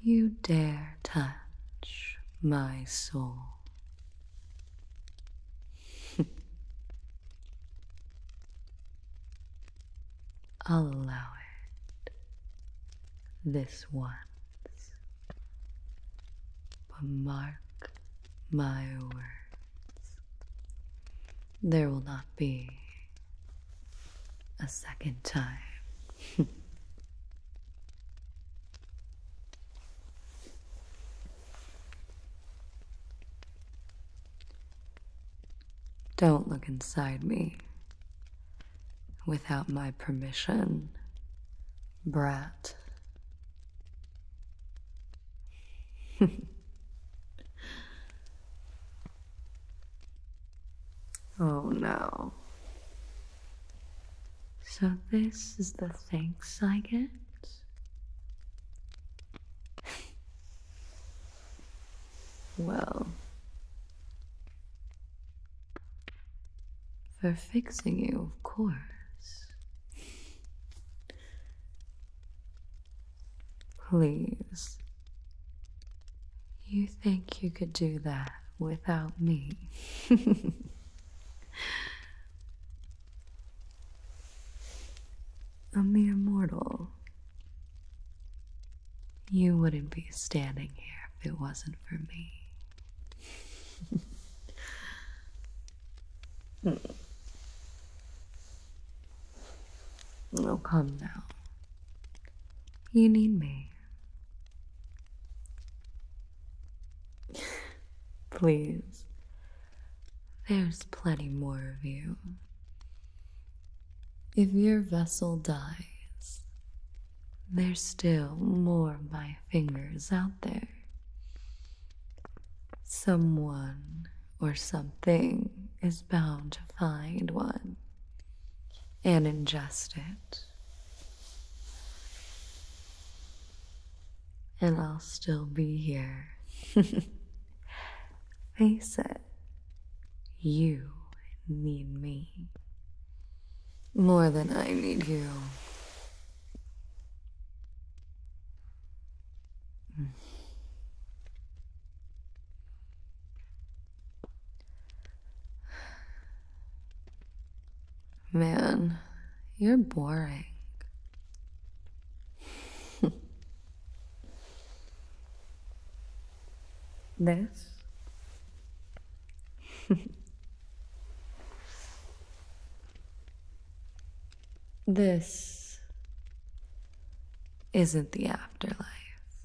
You dare touch my soul. I'll allow it this once, but mark my words. There will not be a second time. Don't look inside me without my permission brat. oh no. So, this is the thanks I get? well, for fixing you, of course. Please. You think you could do that without me? A mere mortal. You wouldn't be standing here if it wasn't for me. Hmm. Oh, come now. You need me. Please. There's plenty more of you. If your vessel dies, there's still more of my fingers out there. Someone or something is bound to find one and ingest it. And I'll still be here. Face it, you need me more than I need you. Man, you're boring. this? This isn't the afterlife.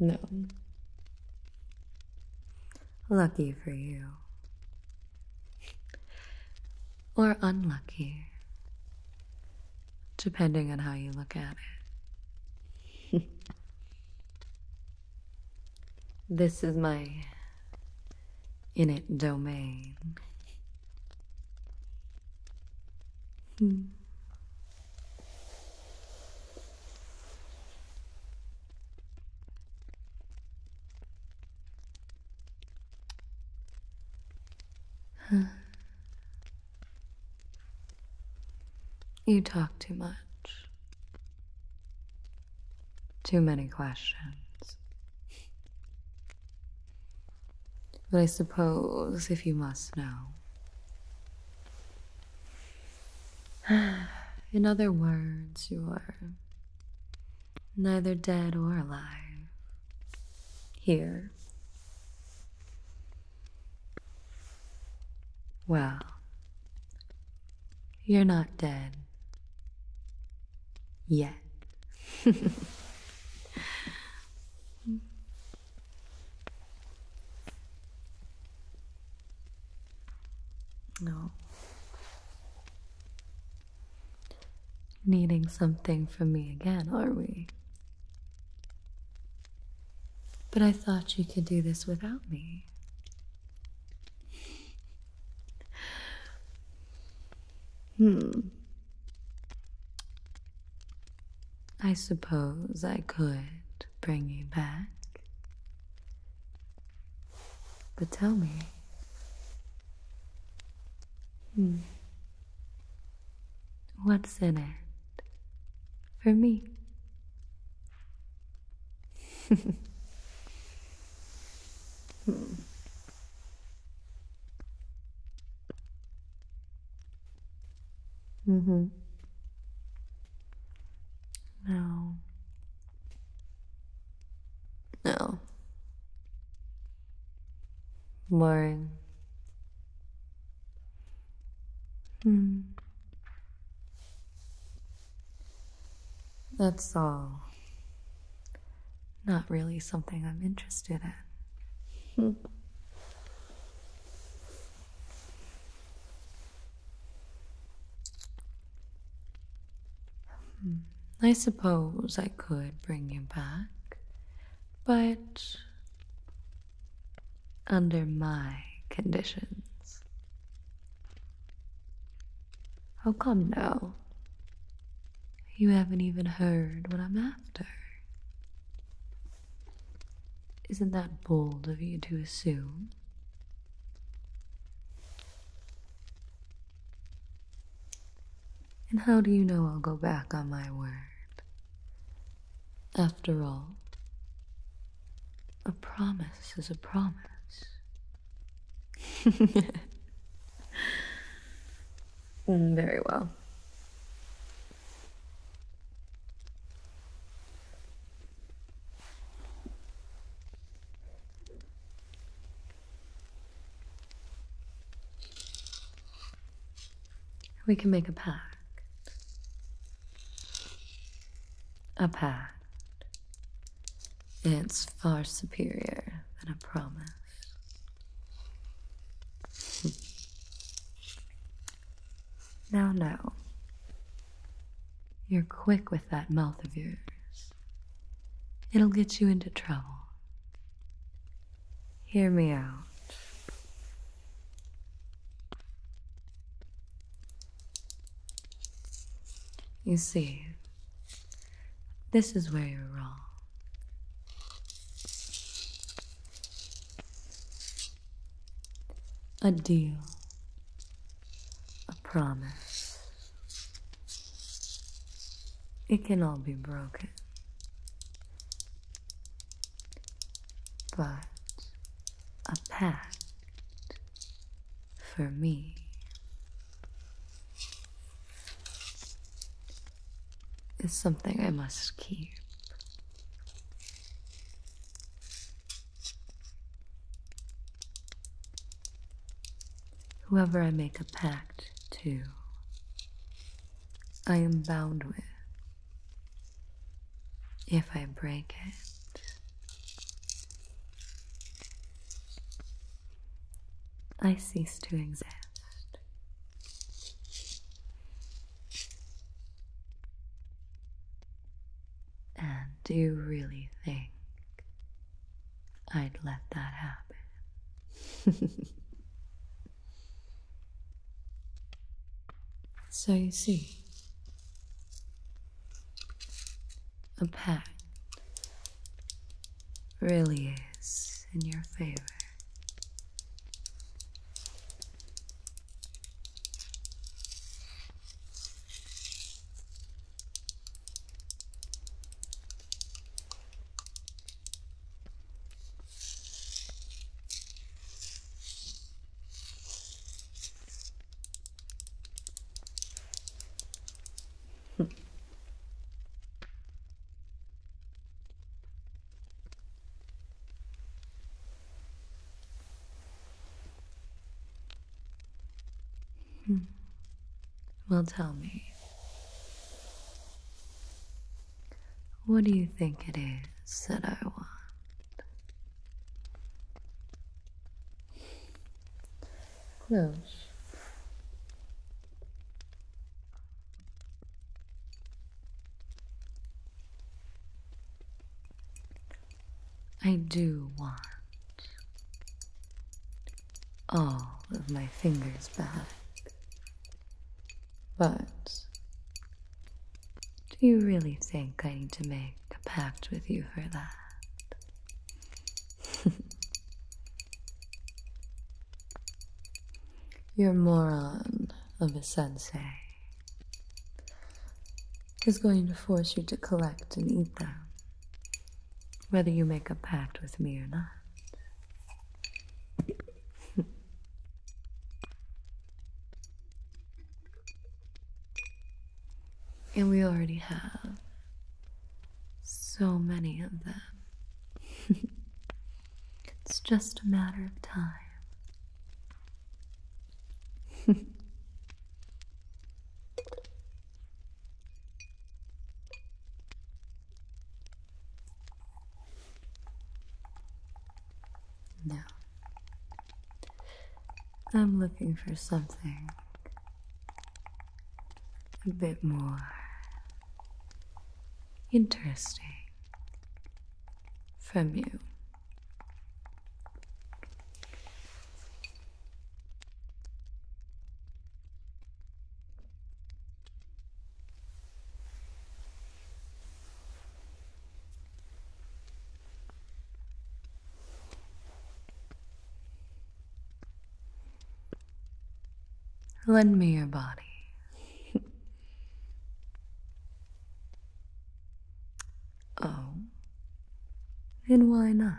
No. Lucky for you. Or unlucky, depending on how you look at it. This is my init domain. Hmm. You talk too much. Too many questions. But I suppose if you must know. In other words, you're neither dead or alive. Here. Well, you're not dead. Yet. no. Needing something from me again, are we? But I thought you could do this without me. Hmm. I suppose I could bring you back. But tell me. Hmm. What's in it for me? hmm. Mm-hmm. No. No. Boring. Hmm. That's all. Not really something I'm interested in. Hmm. Hmm. I suppose I could bring you back, but under my conditions. Oh, come now. You haven't even heard what I'm after. Isn't that bold of you to assume? And how do you know I'll go back on my word? After all, a promise is a promise. Mm, very well. We can make a pact. A pact it's far superior than a promise. now, now. You're quick with that mouth of yours. It'll get you into trouble. Hear me out. You see, this is where you're wrong. A deal, a promise. It can all be broken. But a pact for me. Is something I must keep. Whoever I make a pact to, I am bound with if I break it, I cease to exist. And do you really think I'd let that happen? so you see, a pact really is in your favor. Hmm. Well, tell me. What do you think it is that I want? Close. I do want all of my fingers back, but do you really think I need to make a pact with you for that? Your moron of a sensei is going to force you to collect and eat them, whether you make a pact with me or not. And we already have so many of them. it's just a matter of time. now, I'm looking for something a bit more interesting from you. Lend me your body. oh, and why not?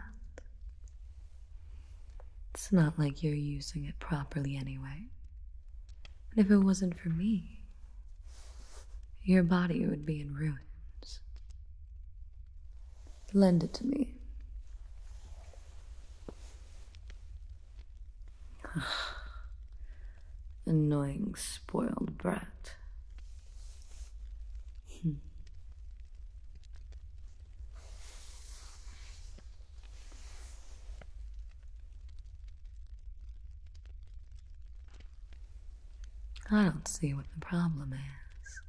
It's not like you're using it properly anyway. And if it wasn't for me, your body would be in ruins. Lend it to me. Annoying, spoiled brat. I don't see what the problem is.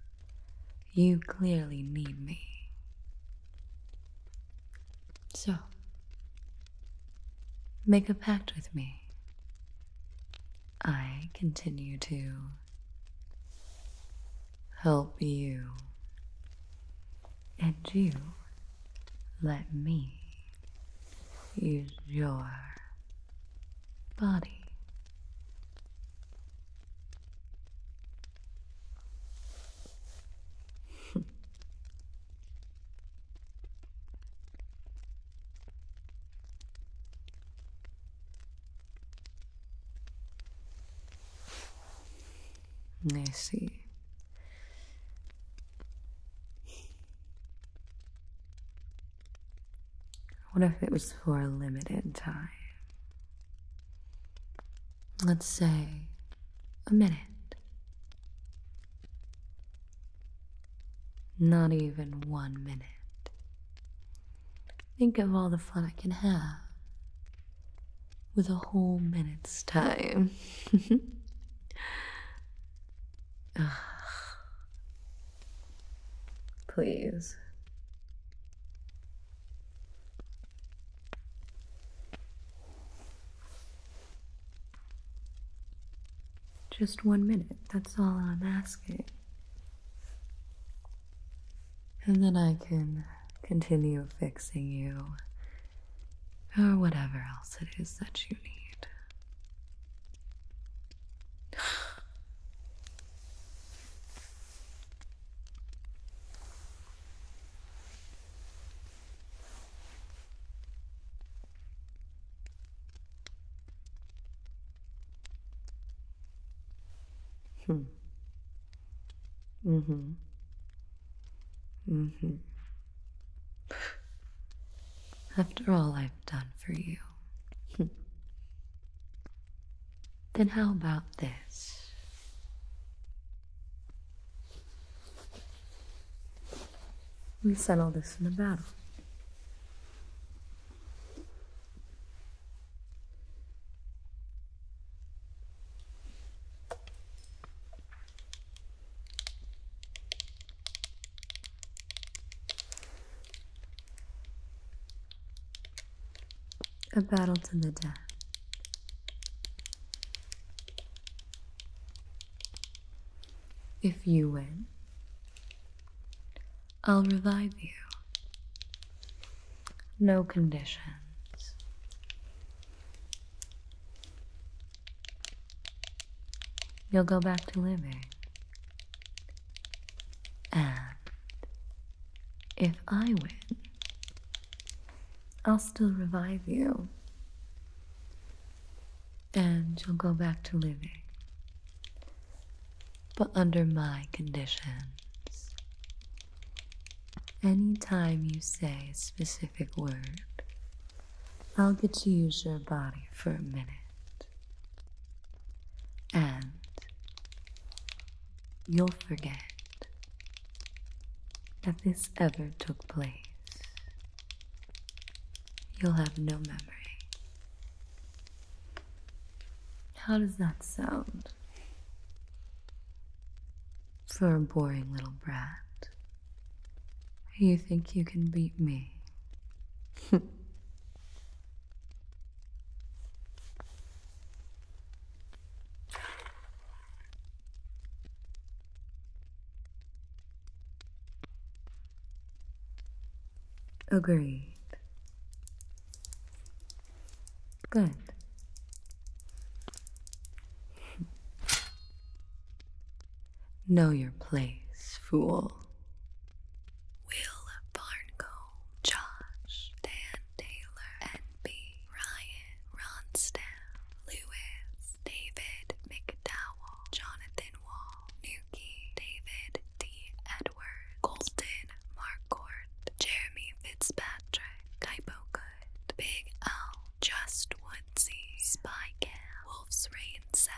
You clearly need me. So, make a pact with me. I continue to help you, and you let me use your body. I see. What if it was for a limited time? Let's say a minute. Not even one minute. Think of all the fun I can have with a whole minute's time. Ugh. Please. Just one minute, that's all I'm asking. And then I can continue fixing you, or whatever else it is that you need. Hmm. Mm-hmm. Mm-hmm. After all, I done for you. then how about this? We settle this in the battle. A battle to the death. If you win, I'll revive you. No conditions. You'll go back to living. And if I win, I'll still revive you. And you'll go back to living. But under my conditions. any time you say a specific word, I'll get to use your body for a minute. And you'll forget that this ever took place. You'll have no memory. How does that sound? For a boring little brat. You think you can beat me? Agreed. Good. Know your place, fool. Will Barnco, Josh, Dan Taylor, NB, Ryan, Ronstaff, Lewis, David McDowell, Jonathan Wall, Nuki, David D. Edward, Colton Marcourt, Jeremy Fitzpatrick, Kaipo Good, Big L, Just Woodsy, Spy Cam, Wolf's Rain 17,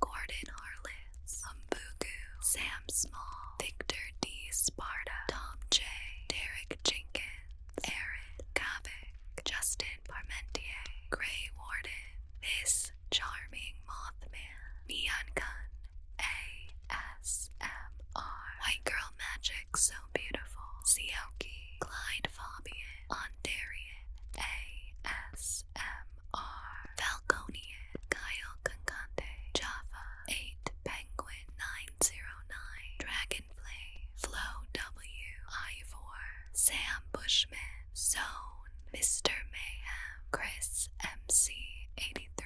Gordon Harless, Umbugu, Sam Small, Victor D. Sparta, Tom J., Derek Jenkins, Aaron Kavik, Justin Parmentier, Gray Warden, This Charming Mothman, Neon Gun, ASMR, White Girl Magic So Beautiful, Sioki, Clyde Fabian, Ondarian ASMR Falconian Kyle Concante Java 8 Penguin 909 Dragonfly Flow W Ivor Sam Bushman Zone Mr. Mayhem Chris MC83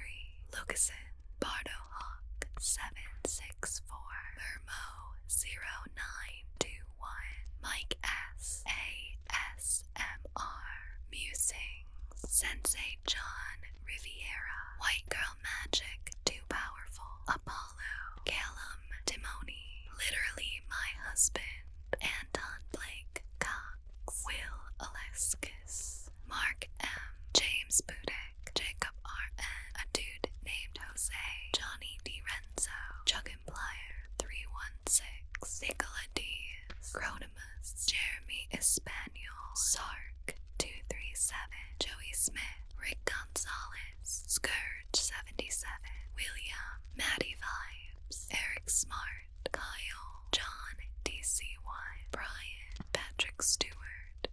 Lucasen Bardo Hawk 764 Mermo 092 one. Mike S A S M R Musing Sensei John Riviera. White Girl Magic Too Powerful. Apollo. Callum Timoni. Literally My Husband. Anton Blake Cox. Will Aleskis. Mark M. James Budek. Jacob R. N. A dude named Jose. Johnny D. Red Lorenzo, Chuck 316, Nicola D Cronimus, Jeremy Espanol, Sark, 237, Joey Smith, Rick Gonzalez, Scourge, 77, William, Maddie Vibes, Eric Smart, Kyle, John, DCY, Brian, Patrick Stewart.